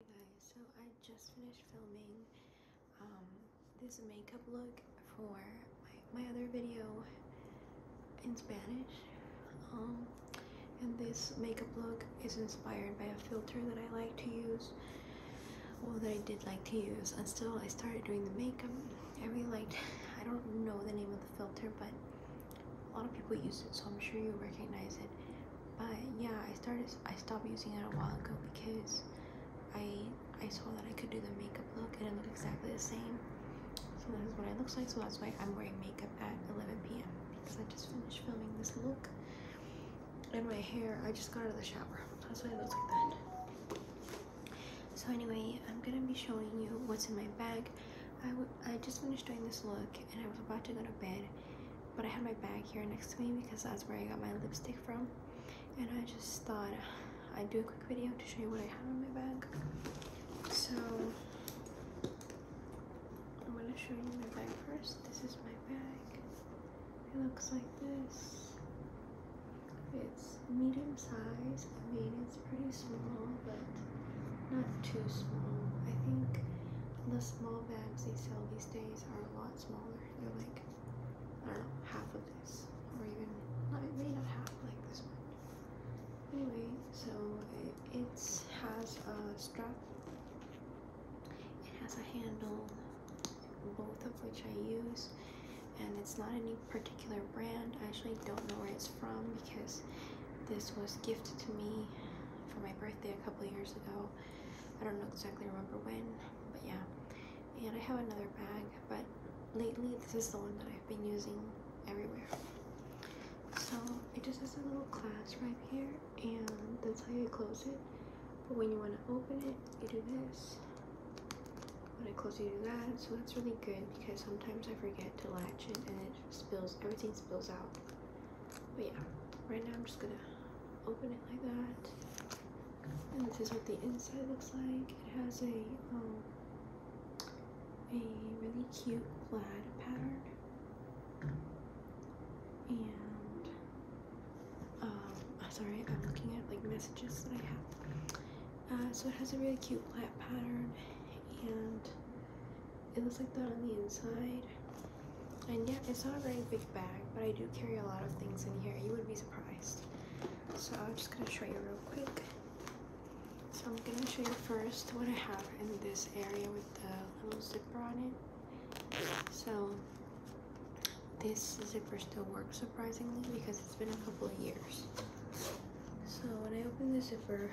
guys, so I just finished filming um, this makeup look for my, other video in Spanish um, and this makeup look is inspired by a filter that I like to use well that I did like to use until I started doing the makeup I really liked I don't know the name of the filter but a lot of people use it so I'm sure you recognize it but yeah i started i stopped using it a while ago because i i saw that i could do the makeup look and it looked exactly the same so that's what it looks like so that's why i'm wearing makeup at 11 p.m because i just finished filming this look and my hair i just got out of the shower that's why it looks like that so anyway i'm gonna be showing you what's in my bag I, I just finished doing this look and i was about to go to bed but I had my bag here next to me because that's where I got my lipstick from and I just thought I'd do a quick video to show you what I have in my bag so I'm gonna show you my bag first this is my bag it looks like this it's medium size I mean it's pretty small but not too small I think the small bags they sell these days are a lot smaller. They're like, I don't know, half of this. Or even, maybe not half, like this one. Anyway, so it has a strap. It has a handle, both of which I use. And it's not any particular brand. I actually don't know where it's from because this was gift to me for my birthday a couple years ago. I don't know exactly remember when, but yeah. And I have another bag, but lately this is the one that I've been using everywhere. So it just has a little clasp right here, and that's how you close it. But when you want to open it, you do this. When I close, you do that. So that's really good because sometimes I forget to latch it, and it spills. Everything spills out. But yeah, right now I'm just gonna open it like that. And this is what the inside looks like. It has a um, a really cute plaid pattern. And um, sorry, I'm looking at like messages that I have. Uh, so it has a really cute plaid pattern and it looks like that on the inside. And yeah, it's not a very big bag, but I do carry a lot of things in here. You would be surprised. So I'm just gonna show you real quick. So I'm gonna show you first what I have in this area with the little zipper on it. So this zipper still works surprisingly because it's been a couple of years. So when I open the zipper,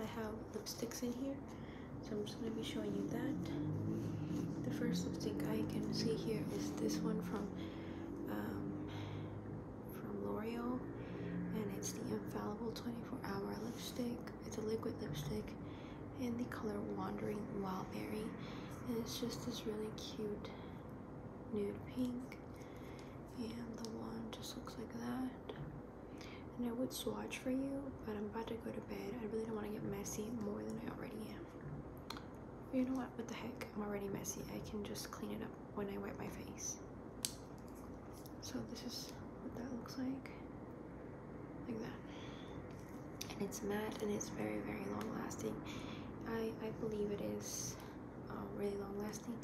I have lipsticks in here. So I'm just going to be showing you that. The first lipstick I can see here is this one from um, from L'Oreal. And it's the Infallible 24 Hour Lipstick. It's a liquid lipstick in the color Wandering Wildberry. And it's just this really cute nude pink. And the wand just looks like that and I would swatch for you, but I'm about to go to bed. I really don't want to get messy more than I already am. you know what? What the heck? I'm already messy. I can just clean it up when I wipe my face. So this is what that looks like. Like that. And it's matte and it's very, very long lasting. I, I believe it is really long lasting.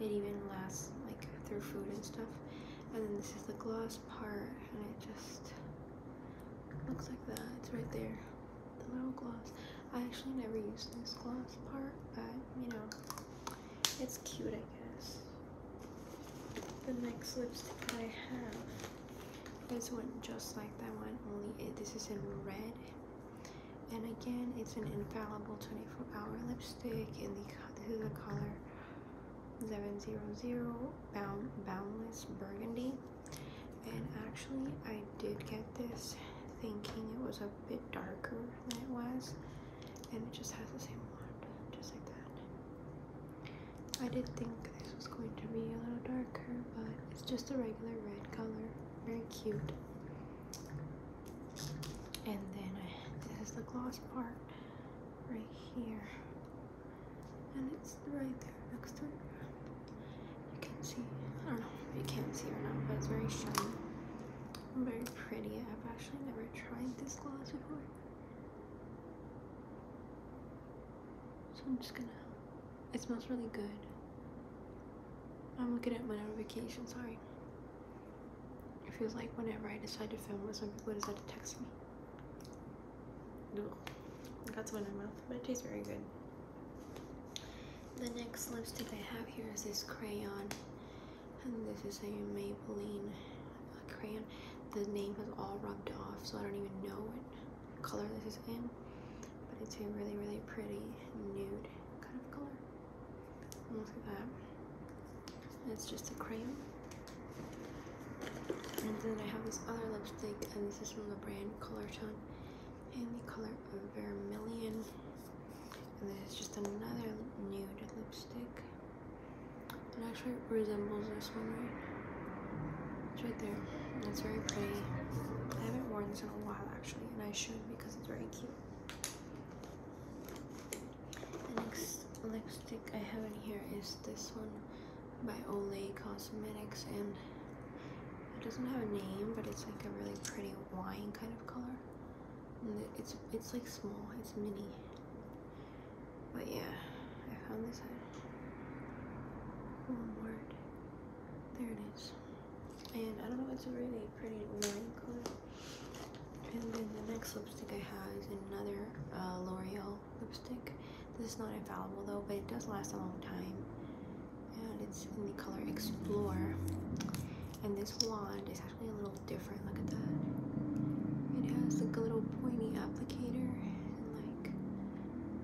It even lasts like through food and stuff. And then this is the gloss part, and it just looks like that. It's right there, the little gloss. I actually never used this gloss part, but you know, it's cute, I guess. The next lipstick I have is one just like that one, only it, this is in red. And again, it's an infallible 24-hour lipstick in the this is a color 700 bound, Boundless Burgundy. And actually, I did get this thinking it was a bit darker than it was, and it just has the same wand, just like that. I did think this was going to be a little darker, but it's just a regular red color. Very cute and then this is the gloss part right here and it's right there next to it you can see I don't know if you can't see or not but it's very shiny very pretty I've actually never tried this gloss before so I'm just gonna it smells really good I'm looking at my notification, sorry. It feels like whenever I decide to film or some people decide to text me. No. got some in my mouth, but it tastes very good. The next lipstick I have here is this crayon. And this is a Maybelline crayon. The name has all rubbed off, so I don't even know what color this is in. But it's a really, really pretty nude kind of color. Look at that. It's just a cream. And then I have this other lipstick, and this is from the brand Color Tone in the color Vermilion. And this is just another nude lipstick. It actually resembles this one, right? It's right there. And it's very pretty. I haven't worn this in a while, actually, and I should because it's very cute. The next lipstick I have in here is this one by Olay Cosmetics and it doesn't have a name but it's like a really pretty wine kind of color and it's it's like small it's mini but yeah I found this one word there it is and I don't know, it's a really pretty lime color. And then the next lipstick I have is another uh, L'Oreal lipstick. This is not infallible though, but it does last a long time. And it's in the color Explore. And this wand is actually a little different, look at that. It has like a little pointy applicator and like,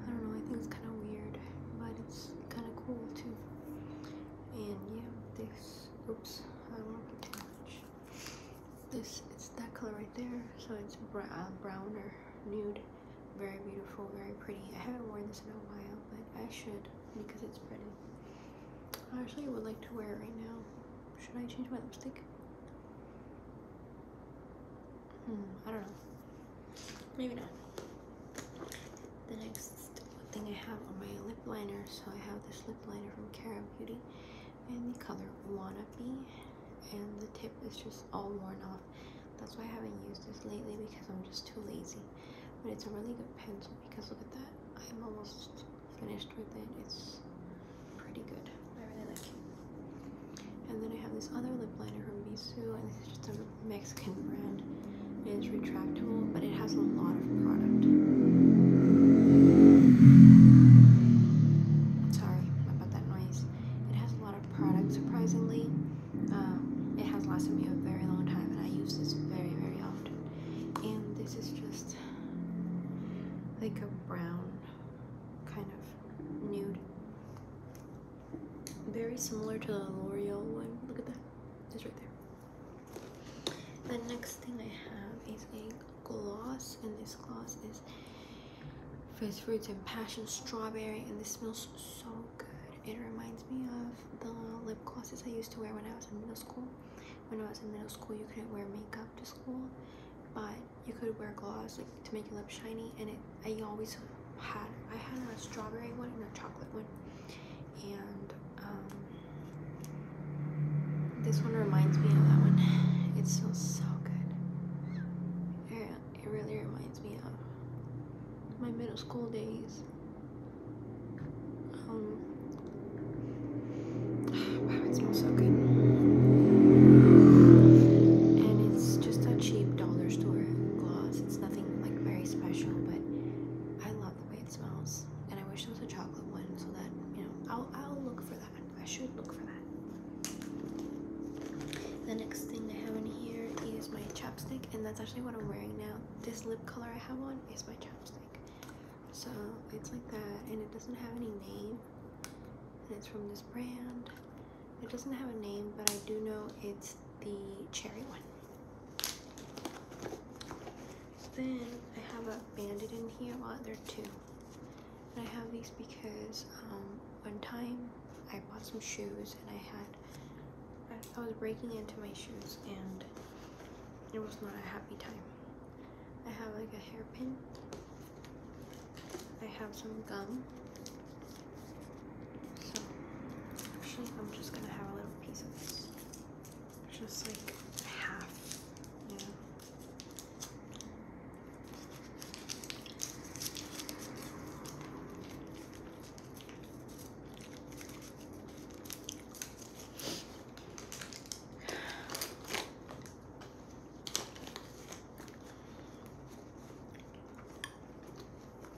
I don't know, I think it's kind of weird, but it's kind of cool too and yeah this oops I don't want to much this it's that color right there so it's brown, uh, brown or nude very beautiful very pretty I haven't worn this in a while but I should because it's pretty I actually would like to wear it right now should I change my lipstick? Hmm, I don't know maybe not. The next thing I have on my lip liner, So I have this lip liner from Kara Beauty and the color Wannabe. And the tip is just all worn off. That's why I haven't used this lately because I'm just too lazy. But it's a really good pencil because look at that. I'm almost finished with it. It's pretty good. I really like it. And then I have this other lip liner from Bisou and this is just a Mexican brand. It is retractable, but it has a lot of product. Sorry about that noise. It has a lot of product, surprisingly. Um, it has lasted me a very long time, and I use this very, very often. And this is just like a brown kind of nude very similar to the L'Oreal one. Look at that, it's right there. The next thing I have is a gloss, and this gloss is Fresh Fruits and Passion Strawberry, and this smells so good. It reminds me of the lip glosses I used to wear when I was in middle school. When I was in middle school, you couldn't wear makeup to school, but you could wear gloss to make your lips shiny and it i always had i had a strawberry one and a chocolate one and um, this one reminds me of that one it smells so good it, it really reminds me of my middle school days um, wow it smells so good and it's just a cheap dollar store gloss. It's nothing like very special, but I love the way it smells. And I wish there was a chocolate one so that, you know, I'll, I'll look for that. I should look for that. The next thing I have in here is my chapstick, and that's actually what I'm wearing now. This lip color I have on is my chapstick. So it's like that, and it doesn't have any name. And it's from this brand. It doesn't have a name, but I do know it's the cherry one. Then I have a bandit in here. Well, there are two. And I have these because um, one time I bought some shoes and I had, I was breaking into my shoes and it was not a happy time. I have like a hairpin I have some gum. So actually I'm just gonna have a little piece of this. Just like half, you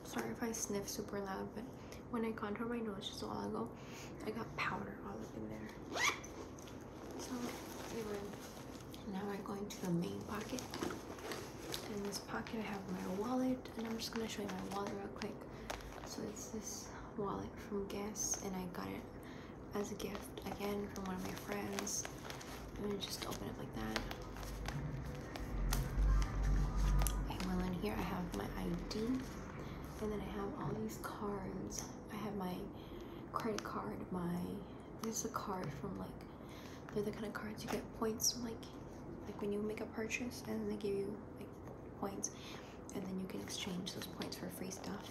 Sorry if I sniff super loud, but when I contour my nose just a while ago, I got powder all up in there. So, anyway, now I'm going to the main pocket. In this pocket, I have my wallet, and I'm just gonna show you my wallet real quick. So it's this wallet from Guess, and I got it as a gift again from one of my friends. I'm gonna just open it like that. And well in here I have my ID and then I have all these cards. I have my credit card, my this is a card from like they're the kind of cards you get points like like when you make a purchase and they give you like points and then you can exchange those points for free stuff.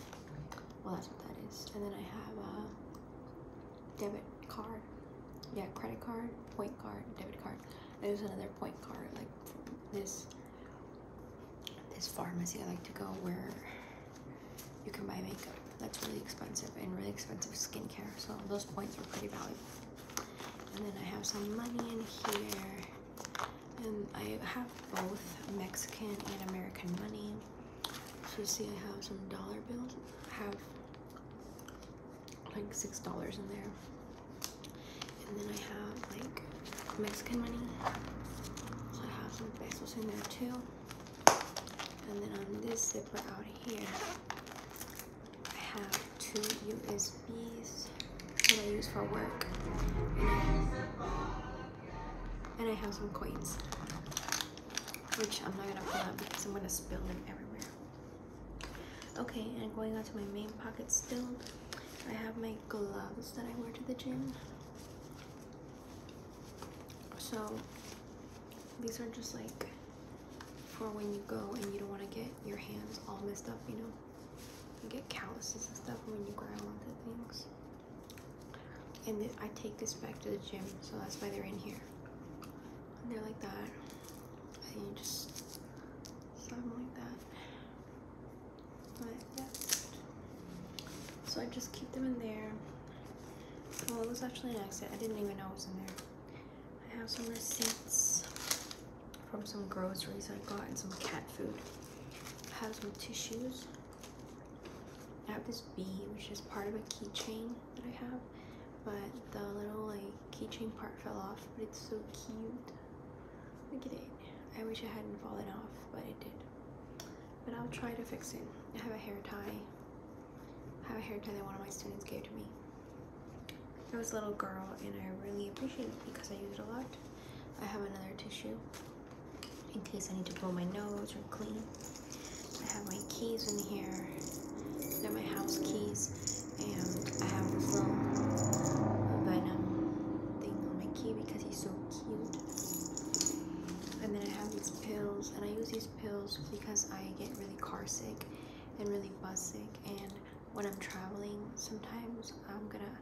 Well that's what that is. And then I have a uh, debit card. Yeah, credit card, point card, debit card. There's another point card like this this pharmacy I like to go where you can buy makeup that's really expensive and really expensive skincare. So those points are pretty valuable. And then I have some money in here. And I have both Mexican and American money. So see, I have some dollar bills. I have like six dollars in there, and then I have like Mexican money. So I have some pesos in there too. And then on this zipper out here, I have two USBs that I use for work. And I have some coins, which I'm not gonna pull out because I'm gonna spill them everywhere. Okay, and going on to my main pocket still, I have my gloves that I wear to the gym. So these are just like for when you go and you don't want to get your hands all messed up, you know? You get calluses and stuff when you grind on the things. And I take this back to the gym, so that's why they're in here. they're like that. And you just something like that. Like that. So I just keep them in there. Well, it was actually an accident. I didn't even know it was in there. I have some receipts from some groceries I got and some cat food. I have some tissues. I have this bee, which is part of a keychain that I have, but the little like keychain part fell off, but it's so cute. Look at it. I wish it hadn't fallen off, but it did. But I'll try to fix it. I have a hair tie. I have a hair tie that one of my students gave to me. It was a little girl and I really appreciate it because I use it a lot. I have another tissue in case I need to blow my nose or clean. I have my keys in here. They're my house keys. And I have this little venom thing on my key because he's so cute. And then I have these pills. And I use these pills because I get really car sick and really bus sick. And when I'm traveling, sometimes I'm gonna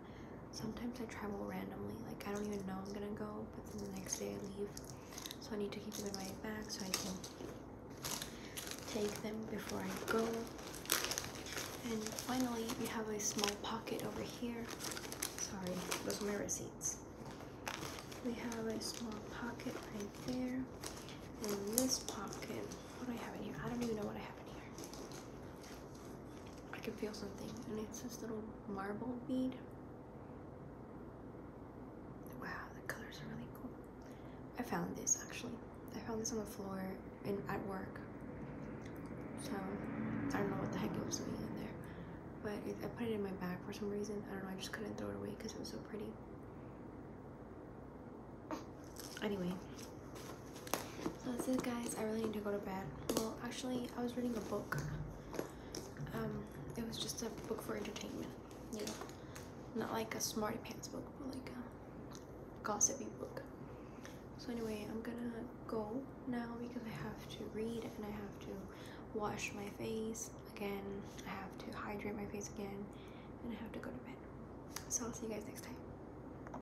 Sometimes I travel randomly, like I don't even know I'm gonna go, but then the next day I leave. So I need to keep them right back so I can take them before I go. And finally, we have a small pocket over here. Sorry, those are my receipts. We have a small pocket right there. And this pocket, what do I have in here? I don't even know what I have in here. I can feel something, and it's this little marble bead. Wow, the colors are really cool. I found this actually. I found this on the floor in at work. So I don't know what the heck it was doing there, but I put it in my bag for some reason. I don't know. I just couldn't throw it away because it was so pretty. Anyway, so that's it guys, I really need to go to bed. Well, actually, I was reading a book. Um, it was just a book for entertainment, you Not like a smarty pants book, but like a gossipy book. So anyway, I'm gonna go now because I have to read and I have to wash my face again. I have to hydrate my face again and I have to go to bed. So I'll see you guys next time.